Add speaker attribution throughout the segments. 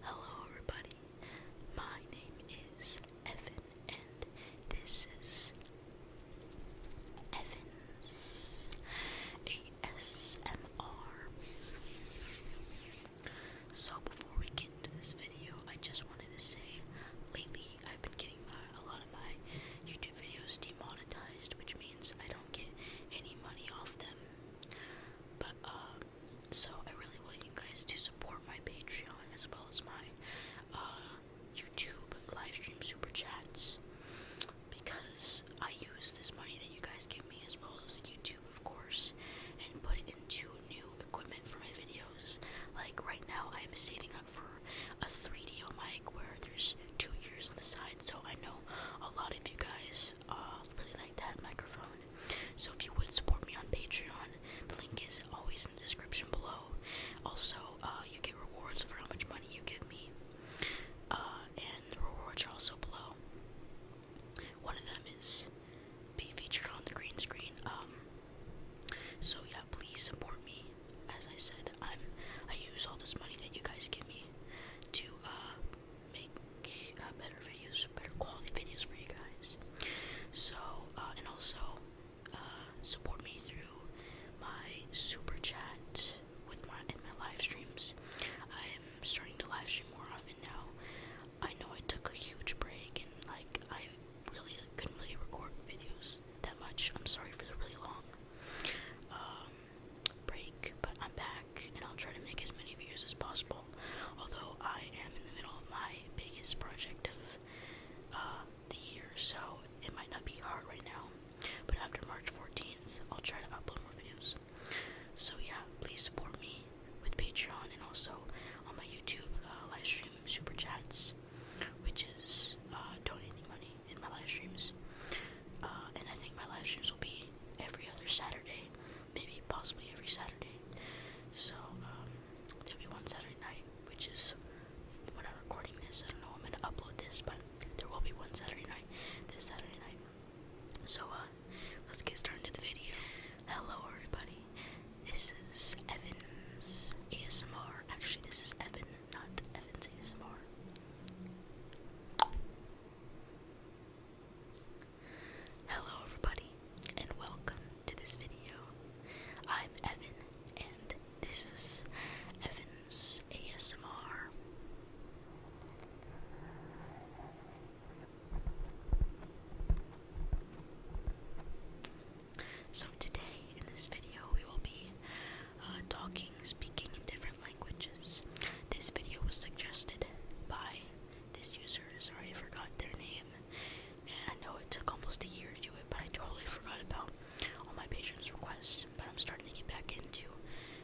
Speaker 1: Hello, everybody. My name is Evan, and this is Evan's ASMR. So, before we get into this video, I just wanted to say lately I've been getting a lot of my YouTube videos demonetized, which means I don't get any money off them. But, uh, so I really want you guys to support my Patreon as well as my uh, YouTube live stream super chats because I use this money that you guys give me as well as YouTube, of course, and put it into new equipment for my videos. Like right now, I am saving up for a 3DO mic where there's two years on the side, so I know a lot of you guys uh, really like that microphone. So if you would support me on Patreon, the link is always in the description below. Also, uh, you get rewards for how much money you give me, uh, and the rewards are also below. One of them is be featured on the green screen. Um, so yeah, please support me. As I said, I'm I use all this money that you guys give me to uh, make uh, better videos, better quality videos for you guys. So, uh, and also uh, support me through my super chat with my live streams. I am starting to live stream more often now. I know I took a huge break and like I really couldn't really record videos that much. I'm sorry for the really long. Um, break, but I'm back and I'll try to make as many views as possible. Although I am in the middle of my biggest project of uh, the year, so it might not be hard right now. But after March 14th, I'll try to upload more videos. So yeah, please support me with Patreon and also on my YouTube uh, live stream super chats, which is uh, donating money in my live streams. and I think my live streams will be every other Saturday maybe possibly every Saturday. So um, there'll be one Saturday night, which is when I'm recording this. I don't know I'm gonna upload this, but there will be one Saturday night. This Saturday night. So uh, let's get started with the video. Hello everybody. This is Evans ASMR. Actually, this is Evan, not Evans ASMR. Hello everybody and welcome to this video. I'm Evan and this is Evan's ASMR. So today in this video we will be uh, talking, speaking in different different languages. This video was suggested by this user. Sorry, I forgot their name. And I know it took almost a year to do it, but I totally forgot about all my patrons' requests. But I'm starting to get back into,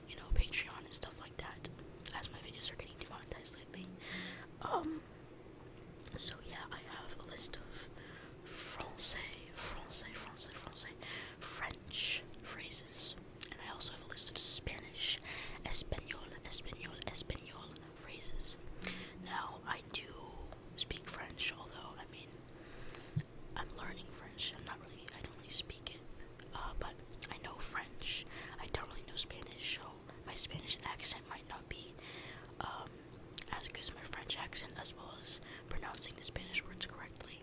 Speaker 1: you know, Patreon and stuff like that, as my videos are getting demonetized lately. Um, so yeah, I have a list of Francais, Francais, Francais, Francais, French phrases and I also have a list of Spanish, Espanol, Espanol, Espanol phrases. Now, I do speak French, although, I mean, I'm learning French. I'm not really, I don't really speak it, uh, but I know French. I don't really know Spanish, so my Spanish accent might not be um, as good as my French accent, as well as pronouncing the Spanish words correctly.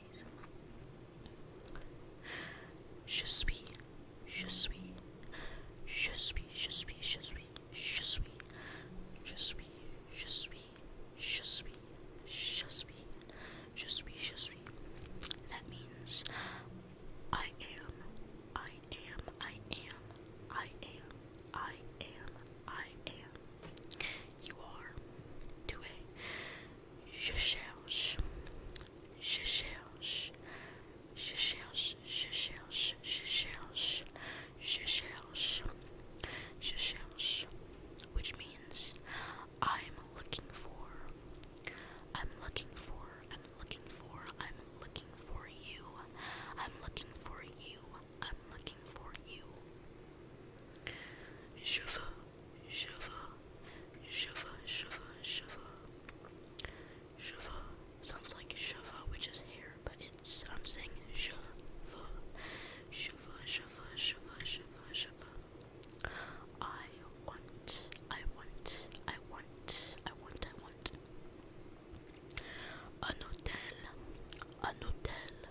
Speaker 1: please. Je suis, je suis, je suis, je suis, je suis, je suis, je suis, je suis, je suis, je suis, je suis, je suis. That means I am, I am, I am, I am, I am, I am. You are, tu es, Je cherche, je cherche, je cherche, je cherche, je cherche, je cherche, je cherche, which means I'm looking for, I'm looking for, I'm looking for, I'm looking for you, I'm looking for you, I'm looking for you. Je veux, Shiva, Shiva, Shiva, Shiva. Shiva sounds like Shiva, which is hair, but it's, I'm saying Shiva. Shiva, Shiva, Shiva, Shiva, Shiva. I want, I want, I want, I want, I want. An hotel, an hotel,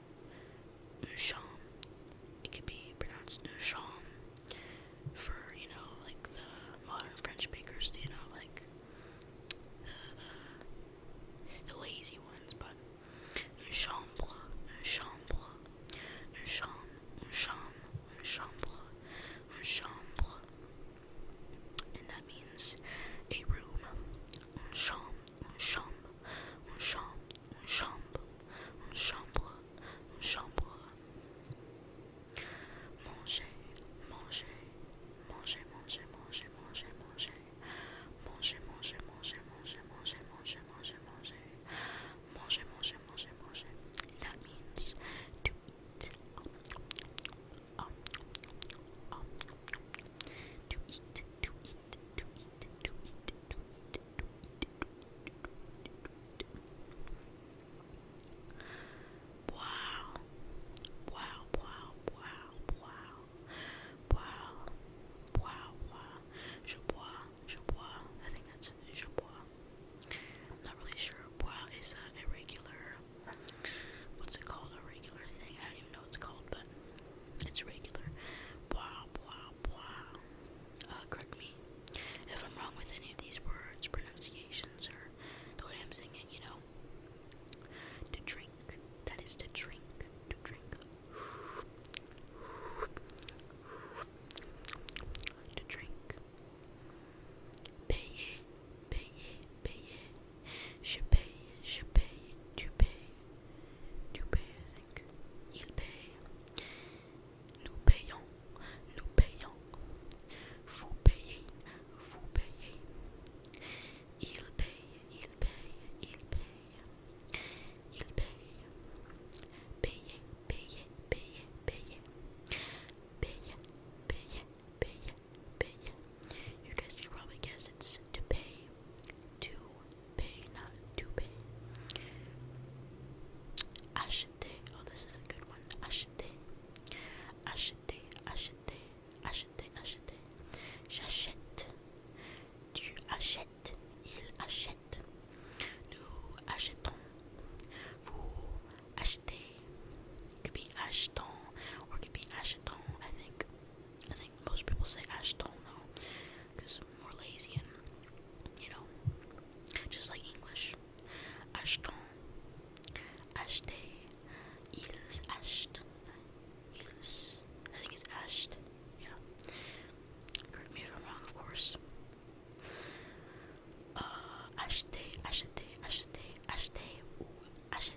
Speaker 1: Usham. It could be pronounced Usham for, you know, like the modern French bakers, you know, like the, the, lazy ones, but chambre, chambre, chambre, chambre, chambre, And that means a room, chambre, chambre, une chambre, une chambre, une chambre, une chambre. Manger, manger, manger, manger, manger, manger, manger, manger, manger, manger, manger, manger, manger, manger, manger, manger, manger, manger, manger. That means to eat. Um, um, um, to eat, to eat, Wow. Wow, wow, wow, wow. Wow. Wow, wow. Je bois, je bois. I think that's je bois. not really sure. Bois is a regular, what's it called? A regular thing. I don't even know what it's called, but it's regular. Blah, blah, blah. Uh, correct me if I'm wrong with any of these words, pronunciations, or the way I'm singing, you know. To drink. That is to drink. To drink. To drink. Payer. Payer. Payer. Je paye, je paye, tu payes, tu payes il paye. Nous payons, nous payons. Vous payez, vous payez. Il paye, il paye, il paye. Il paye. Payez, payez, payez, payez. Payez, payez, payez, payez. You guys should probably guess it's to pay. To pay, not to pay. Ashite. Oh, this is a good one. Ashite. Ashite. Ashite. Ashite. Ashite. J'achète. Tu achètes. Il achète. Nous achetons. Vous achetez. could be acheton or could be acheton, I think. I think most people say Ashton though, because more lazy and you know, just like English. Ashton, Ashte, ils Asht, ils. I think it's Asht. Yeah. Correct me if I'm wrong, of course. Uh, Ashte, Ashte, Ashte, Ashte, ou Ashte.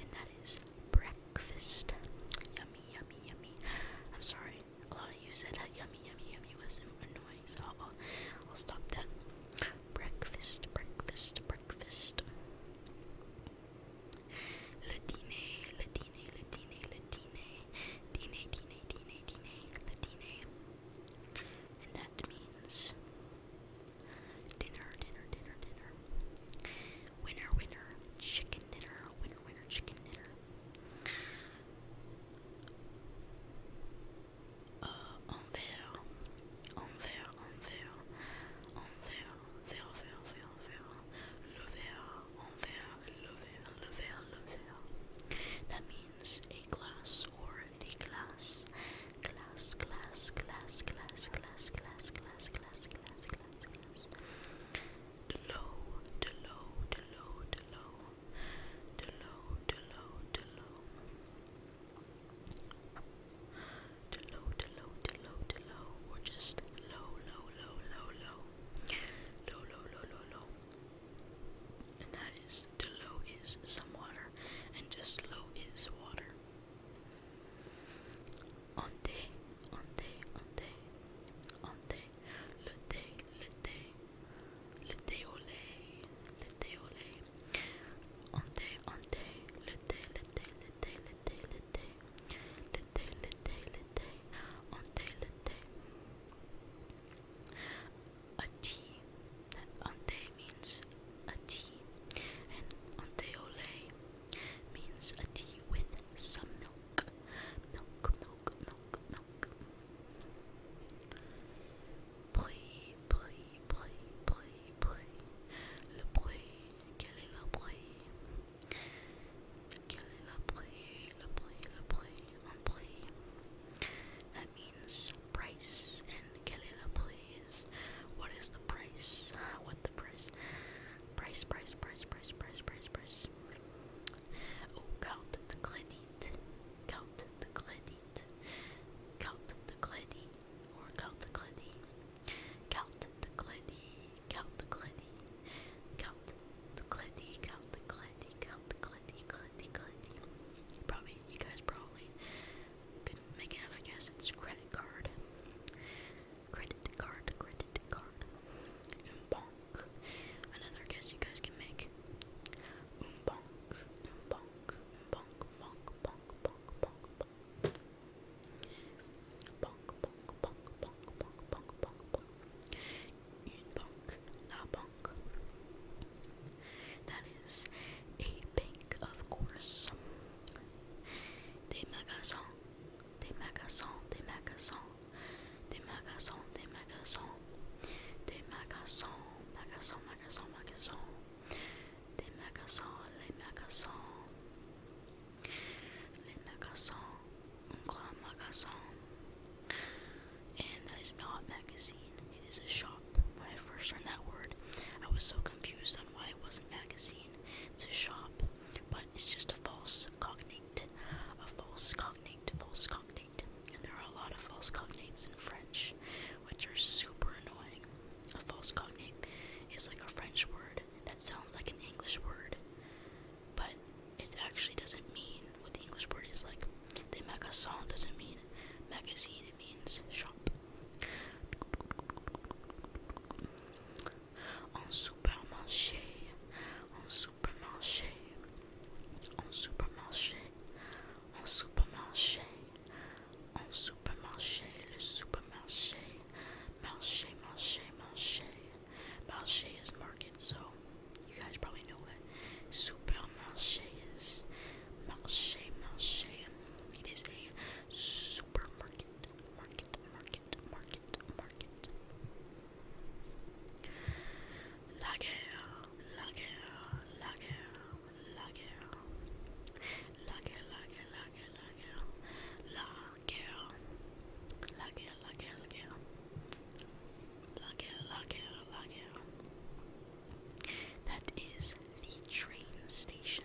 Speaker 1: And that is breakfast. Yummy, yummy, yummy. I'm sorry, a lot of you said that yummy, yummy, yummy was annoying, so I'll, I'll stop that. Breakfast, breakfast, breakfast. Le dîner, le dîner, le dîner, le dîner. Dîner, dîner, dîner, dîner, le dîner. And that means dinner, dinner, dinner, dinner. Winner, winner, chicken dinner. Winner, winner, chicken dinner. Uh, on there, on there, on there, on there, there, there, there, That means a glass or the glass. Glass, glass, glass, glass, glass, glass, glass, glass, glass, glass. The low, the low, the low, the low, the low, the low, the low. The low, the low, the low, or just low, low, low, low, low, low, low, low, low. And that is, the low is some water, and just low is water. Onde, onde, onde, onde, le thé, le thé, le thé au lait, le thé au lait. Onde, onde, le thé, le thé, le thé, le thé, le thé, le thé, le thé, le thé, onde, le thé. A tea, onde means a tea, and onde au lait means a tea with some milk. Milk, milk, milk, milk. Brie, brie, brie, brie, brie. Le brie, quelle est la brie? Quelle est la brie? Le brie, le brie, That means price, and quelle est la what is the price? What the price? Price, price, price, price, price, price, price. Oh, count the credit. Count the credit. Count the credit. Or count the credit. Count the credit. Count the credit. Count the credit. Count the credit. Count the credit. Credit, credit. Probably, you guys probably could make it guess. It's credit card. Credit card, credit card. Umbonk. Another guess you guys can make. Umbonk, umbonk, umbonk, bonk, bonk, bonk, bonk, bonk. Bonk, bonk, bonk, bonk, bonk, bonk, bonk, bonk. Une banque, la banque. That is a bank, of course. Des magasins, des magasins, des magasins, des magasins, des magasins, des magasins, magasins, magasins, magasins, des magasins, les magasins, les magasins, un grand magasin. And that is not a magazine, it is a shop. When I first heard that word, I was so confused on why it wasn't magazine. It's a shop, but it's just a false cognate, a false cognate, false cognate. And there are a lot of false cognates in French, which are super annoying. A false cognate is like a French word that sounds like an English word, but it actually doesn't mean what the English word is like. The magazine doesn't mean magazine, it means shop. En supermarché, en supermarché, en supermarché, en supermarché, en supermarché, le supermarché, marché, marché, marché. Marché is market, so you guys probably know what supermarché is. Marché, marché. It is a supermarché market, market, market, market, market. La guerre, la guerre, la guerre, la guerre. La guerre, la guerre, la guerre, la guerre. La guerre, la guerre, la guerre, la guerre. La guerre, la guerre, la guerre. That is the train station.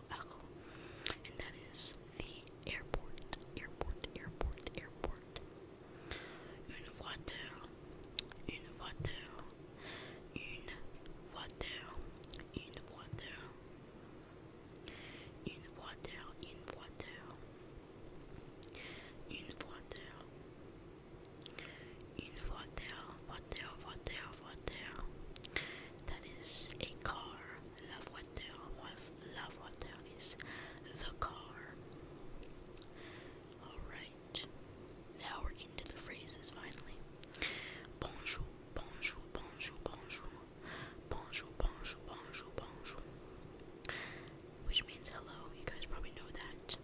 Speaker 1: Akko, and that is the airport, airport, airport, airport. Une voiture, une voiture, une voiture, une voiture, une voiture, une voiture, une voiture, une voiture, voiture, voiture, Lavoiture. That is a car. La voiture, la voiture is the car. Alright. Now we're getting to the phrases finally. Bonjour, bonjour, bonjour, bonjour. Bonjour, bonjour, bonjour, bonjour. Which means hello. You guys probably know that.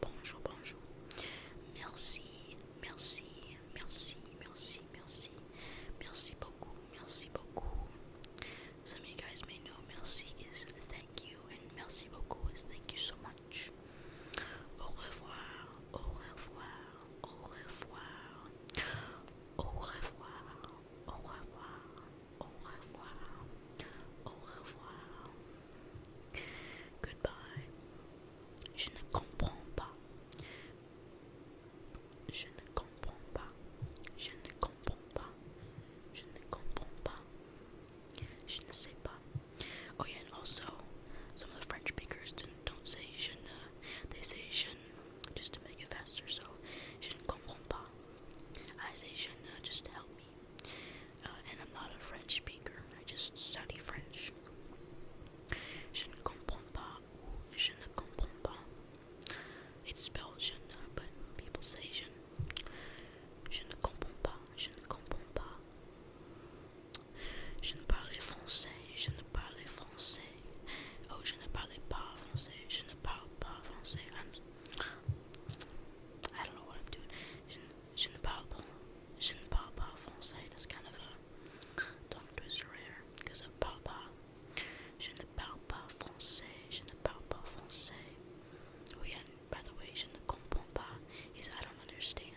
Speaker 1: Bonjour, bonjour. Merci, merci, merci, merci merci, merci, beaucoup, merci beaucoup. Some of you guys may know merci is thank you, and merci beaucoup is thank you so much. Au revoir, au revoir, au revoir, au revoir, au revoir, au revoir, au revoir. Goodbye. Je ne comprends pas. Je ne comprends pas. Je ne comprends pas. Je ne comprends pas. Je ne sais pas. Oh yeah, and also, some of the French speakers don't, don't say je ne. They say je ne, just to make it faster. So, je ne comprends pas. I say je ne, just to help me. Uh, and I'm not a French speaker. I just study French. Je ne comprends pas. Je ne comprends pas. It's spelled je ne, but people say je. Je ne comprends pas. Je ne comprends pas. Je ne parlais français. Je ne parlais français. Oh, je ne parlais pas français. Je ne parle pas français. I'm, I do not know what I'm Je, ne parle pas. Je ne parle pas français. That's kind of a tongue twister je ne parle pas. Je ne parle pas français, je ne parle pas français. Oui, by the way, je ne comprends pas, is I don't understand.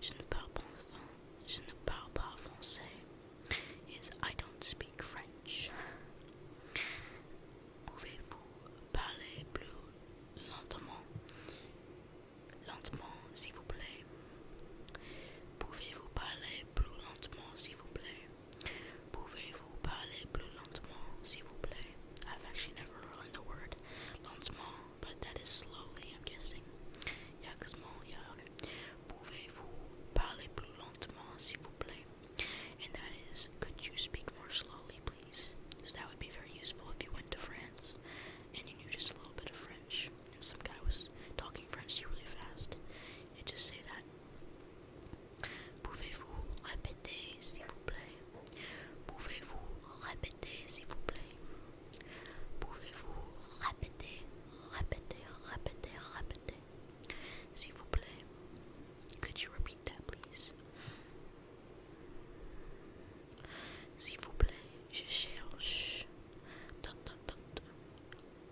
Speaker 1: Je ne parle pas, je ne parle pas français, is I don't speak French. Pouvez-vous parler plus lentement? lentement, s'il vous plaît. Pouvez-vous parler plus lentement, s'il vous plaît. Pouvez-vous parler plus lentement, s'il vous plaît. I've actually never learned the word lentement, but that is slowly, I'm guessing. Yeah, cause more, yeah, okay. Pouvez-vous parler plus lentement, s'il vous plaît. And that is, could you speak more slowly, please? So that would be very useful if you went to France and you knew just a little bit of French, and some guy was talking French to you really fast, you just say that. Pouvez-vous répéter, s'il vous plaît? Pouvez-vous répéter, s'il vous plaît? Pouvez-vous répéter, répéter, répéter, répéter, s'il vous plaît? Could you repeat that, please? S'il vous plaît,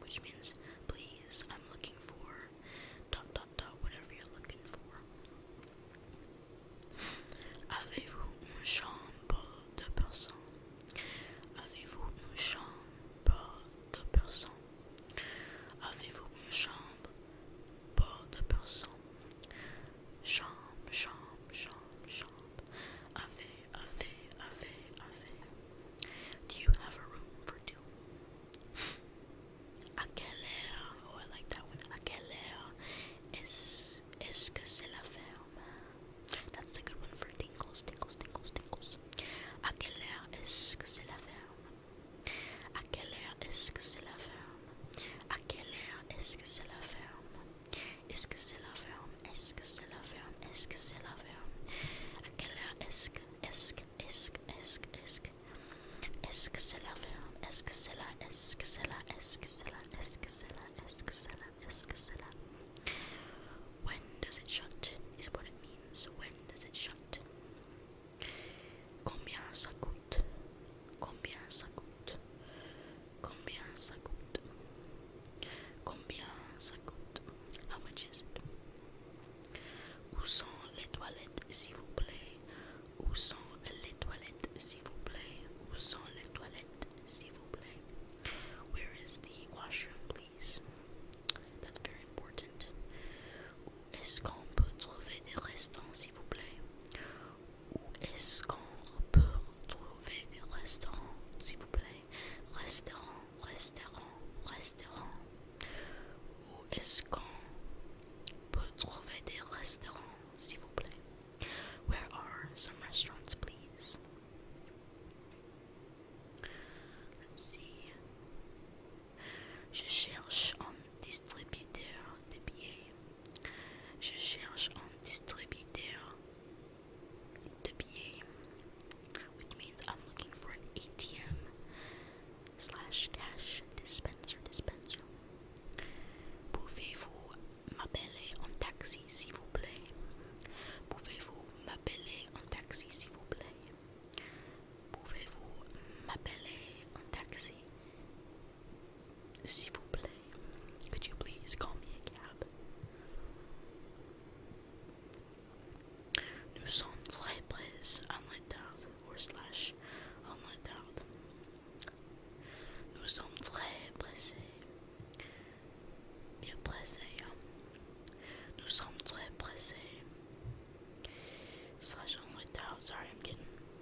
Speaker 1: which means, please, I'm looking for. Dot, dot, dot, whatever you're looking for. Avez-vous une chambre de personnes? Avez-vous une chambre de personnes? Avez-vous une chambre pas de personnes? Chambre, chambre, chambre, chambre. Avez Ave, Do you have a room for two? Aquelea, oh I like that one. Aquelea es, es que se la ferma. That's a good one for tingles, tingles, tingles, tingles. Aquelea es que se la ferma. Aquelea es que se la ferma. Aquelea es que se la ferma. Est-ce que c'est la ferme Est-ce que c'est la ferme Est-ce que c'est la ferme À quelle heure est-ce que Est-ce que Est-ce que Est-ce que Est-ce que Est-ce que c'est la ferme Est-ce que c'est la When does it shut is what it means. When does it shut? Combien ça coûte Combien ça coûte Combien ça coûte Combien ça coûte How much is Où sont les toilettes, s'il vous plaît Où sont les toilettes, s'il vous plaît Où sont les toilettes, s'il vous plaît Where is the washroom, please That's very important. est-ce qu'on peut trouver des restants, s'il vous plaît où est-ce qu'on peut trouver des restaurants, s'il vous plaît Restaurant, restaurant, restaurant. Où est-ce qu'on peut trouver des restaurants, s'il vous plaît Where are some restaurants, please Let's see. Je cherche un distributeur de billets. Je cherche un distributeur de billets, which means I'm looking for an ATM slash cash dispenser dispenser. Pouvez-vous m'appeler en taxi s'il vous plaît? Pouvez-vous m'appeler en taxi s'il vous plaît? Pouvez-vous m'appeler en taxi could you please call me a cab? Nous sommes très près en retard, or slash en retard. Nous sommes très pressés. Bien pressés. Nous sommes très pressés. Slash on retard. Sorry, I'm getting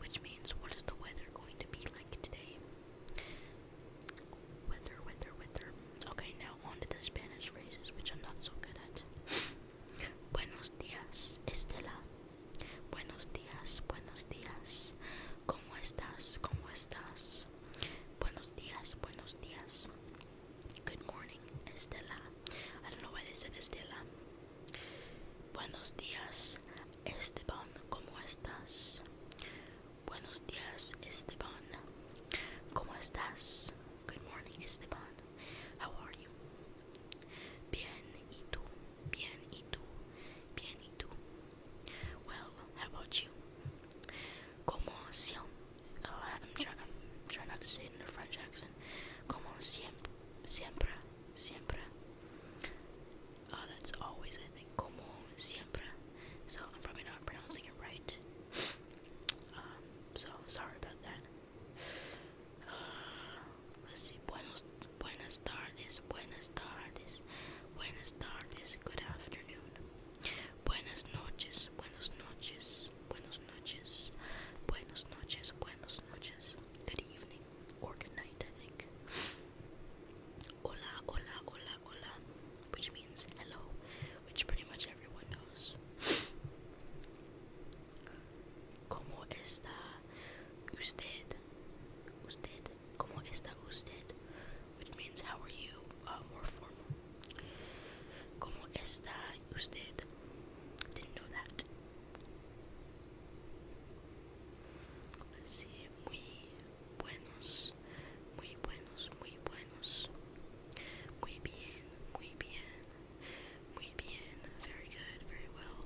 Speaker 1: which means what is the weather going to be like today? Weather, weather, weather. Okay, now on the Spanish phrases, Buenos días, Estela. Buenos días, buenos días. ¿Cómo estás? ¿Cómo estás? Buenos días, buenos días. Good morning, Estela. I don't know why they said Estela. Buenos días, Esteban, ¿cómo estás? Buenos días, Esteban. ¿Cómo estás? Good morning, Esteban. How are you? Bien, ¿y tú? Bien, ¿y tú? Bien, ¿y tú? Well, how about you? Como siempre, oh, I'm, try, I'm trying not to say it in a French accent. Como siempre, siempre, siempre. Oh, that's always, I think, como siempre. So I'm probably not pronouncing it right. um, so sorry about that. Uh, let's see. Buenos, buenas tardes, buenas tardes, buenas tardes. Good afternoon. Buenas noches, buenas noches, buenas noches, buenas noches, buenas noches. Good evening or good night, I think. Hola, hola, hola, hola, which means hello, which pretty much everyone knows. ¿Cómo está usted? Usted, ¿cómo está usted? Which means how are you, uh, more formal. ¿Cómo está usted? Didn't know that. Sí, muy buenos, muy buenos, muy buenos. Muy bien, muy bien, muy bien. Very good, very well.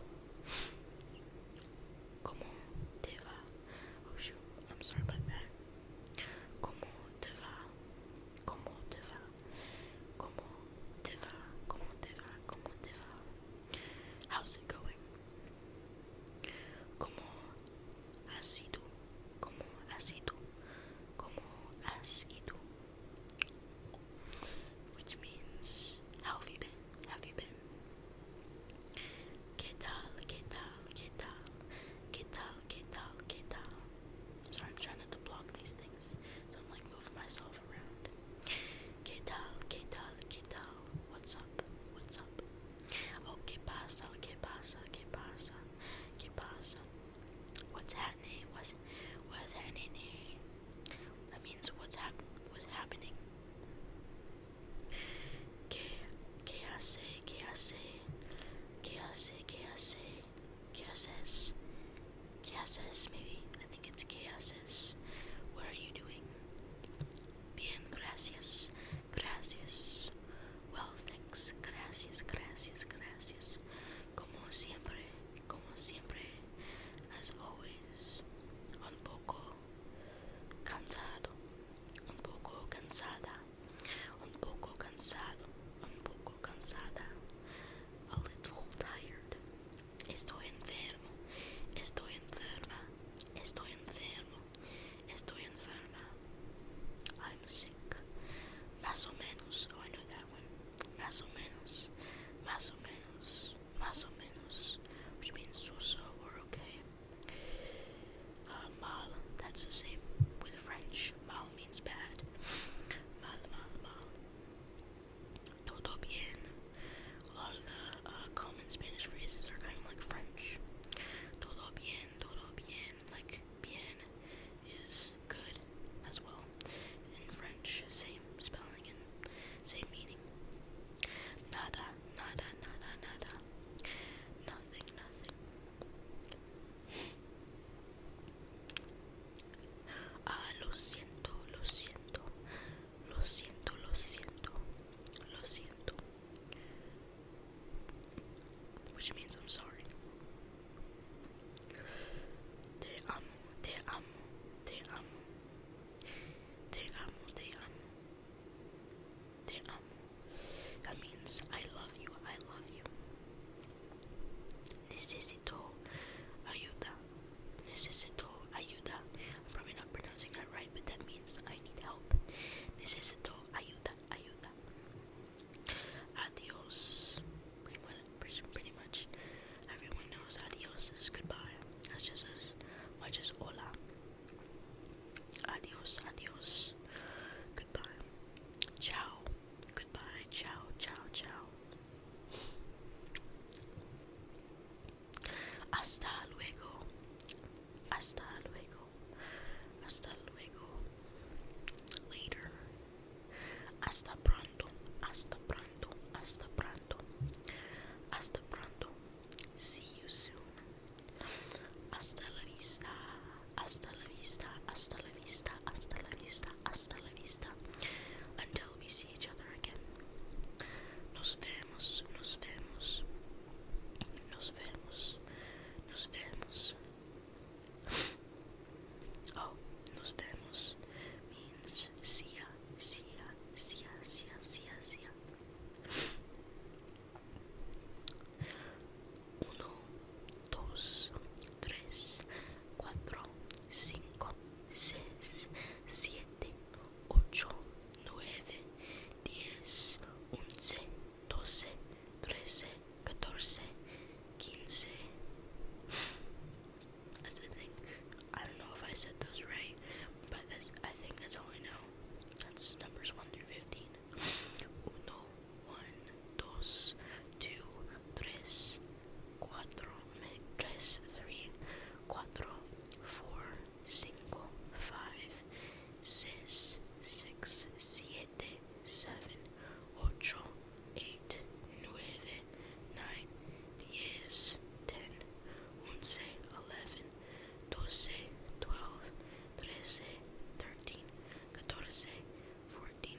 Speaker 1: Como te va? Oh shoot, I'm sorry about that. Como te va? Como te va? Como te va? Como te va? Como te va? How's it going? ¿Cómo ha sido? ¿Cómo ha sido? ¿Cómo ha sido? Which means, how have you been? Have you been? ¿Qué tal? ¿Qué tal? ¿Qué tal? ¿Qué tal? ¿Qué tal? ¿Qué tal? I'm sorry, I'm trying not to block these things, so I'm like moving myself move around. ¿Qué tal? ¿Qué tal? ¿Qué tal? What's up? What's up? Oh, ¿qué pasa? ¿Qué pasa? ¿Qué pasa? ¿Qué pasa? What's happening? What's, what's happening? That means what's, hap what's happening. ¿Qué, ¿Qué hace? ¿Qué hace? ¿Qué hace? ¿Qué hace? ¿Qué haces? ¿Qué haces? Maybe. I it's chaoses. What are you doing? Bien, gracias, gracias. Well, thanks, gracias, gracias, gracias. Como siempre, como siempre, as always. Un poco cansado, un poco cansada, un poco cansado, un poco cansada. A little tired, I'm sick. Más o menos. Oh, I know that one. Más o menos. Más o menos. Más o menos. Which means so or okay. Uh, mal. That's the same with French. Mal means bad. Mal, mal, mal todo bien. A lot of the uh, common Spanish phrases are kind of like French. Todo bien, todo bien, like bien is good as well. In French, same spelling and same meaning. Nada, nada, nada, nada. Nothing, nothing. Ah, lo siento, lo siento. Which means I'm sorry. Te amo, te amo, te amo. Te amo, te amo. That means I love you, I love you necesito ayuda. Necesito ayuda. I'm probably not pronouncing that right, but that means I need help. Necesito ayuda, ayuda. Adios. Pretty much everyone knows adios is goodbye. That's just as much as hola. Adios, adios. Goodbye. Ciao. Goodbye. Ciao, ciao, ciao. Hasta luego. Hasta luego. Hasta luego. Later. Hasta pronto. Hasta pronto. Hasta pronto. Hasta pronto. See you soon. Hasta la vista. Hasta la vista. Hasta la vista. Hasta la vista. Hasta la vista. Until we see each other again. Nos vemos, nos vemos, nos vemos, nos vemos. oh, nos vemos means see ya, see ya, see ya, see 5, 6, 7, 8, 9, 10, 11, 12, 13, 14, 15. I don't know if I said those right, but I think that's all I know. That's numbers one through fifteen. Uno, one, dos, two, tres, cuatro, me, tres, three, cuatro, four, cinco, five, six, six, siete, seven, ocho, eight, nueve, nine, diez, ten, once, eleven, doce, twelve, trece, thirteen, catorce, fourteen,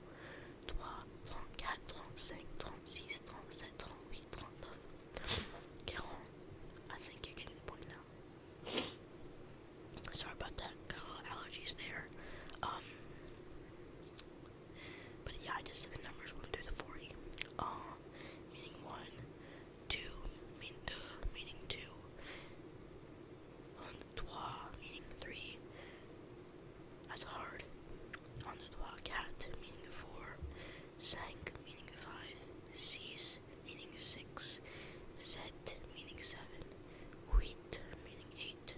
Speaker 1: 3, 34, 35, 36, 37, 38, 39, 40. I think you're getting the point now. Sorry about that, got a little allergies there. Um, but yeah, I just said the numbers 1 through the 40. Uh, meaning 1, 2, mean 2, meaning 2, 3, meaning 3, that's hard. Under the wild cat, meaning four. Sank, meaning five. seis meaning six. Set, meaning seven. Wheat, meaning eight.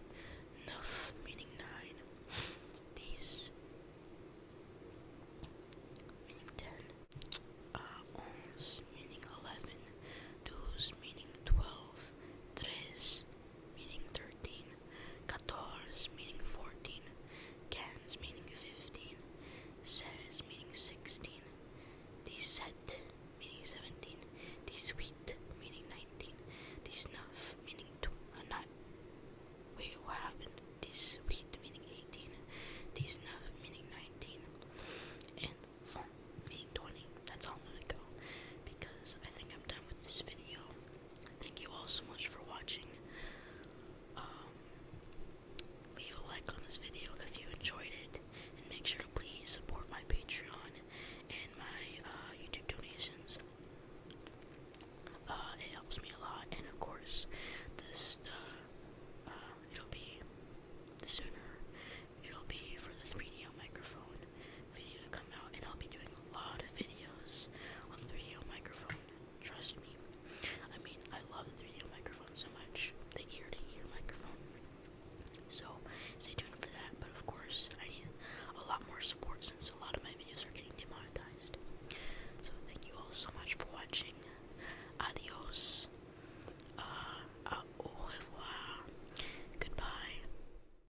Speaker 1: Nuff, meaning nine. These, meaning ten. Uh, meaning eleven. Dos, meaning twelve. Tres, meaning 13, quatorze meaning 14, cans meaning 15, says meaning 16, the set meaning 17, the sweet meaning 19, the snuff meaning tw uh, not, wait what happened, meaning 18, the snuff meaning 19, and font meaning 20. That's all I'm gonna go because I think I'm done with this video. Thank you all so much for watching. Um, leave a like on this video if you enjoyed it, and make sure to please support my Patreon and my uh, YouTube donations. Uh, it helps me a lot, and of course, this uh, uh it'll be sooner it'll be for the 3D microphone video to come out, and I'll be doing a lot of videos on the 3 d microphone. Trust me. I mean, I love the 3 d microphone so much, the ear to ear microphone. So, stay tuned for that. But of course, I need a lot more support since a lot of my videos are getting demonetized. So, thank you all so much for watching. Adios. Uh, au revoir. Goodbye.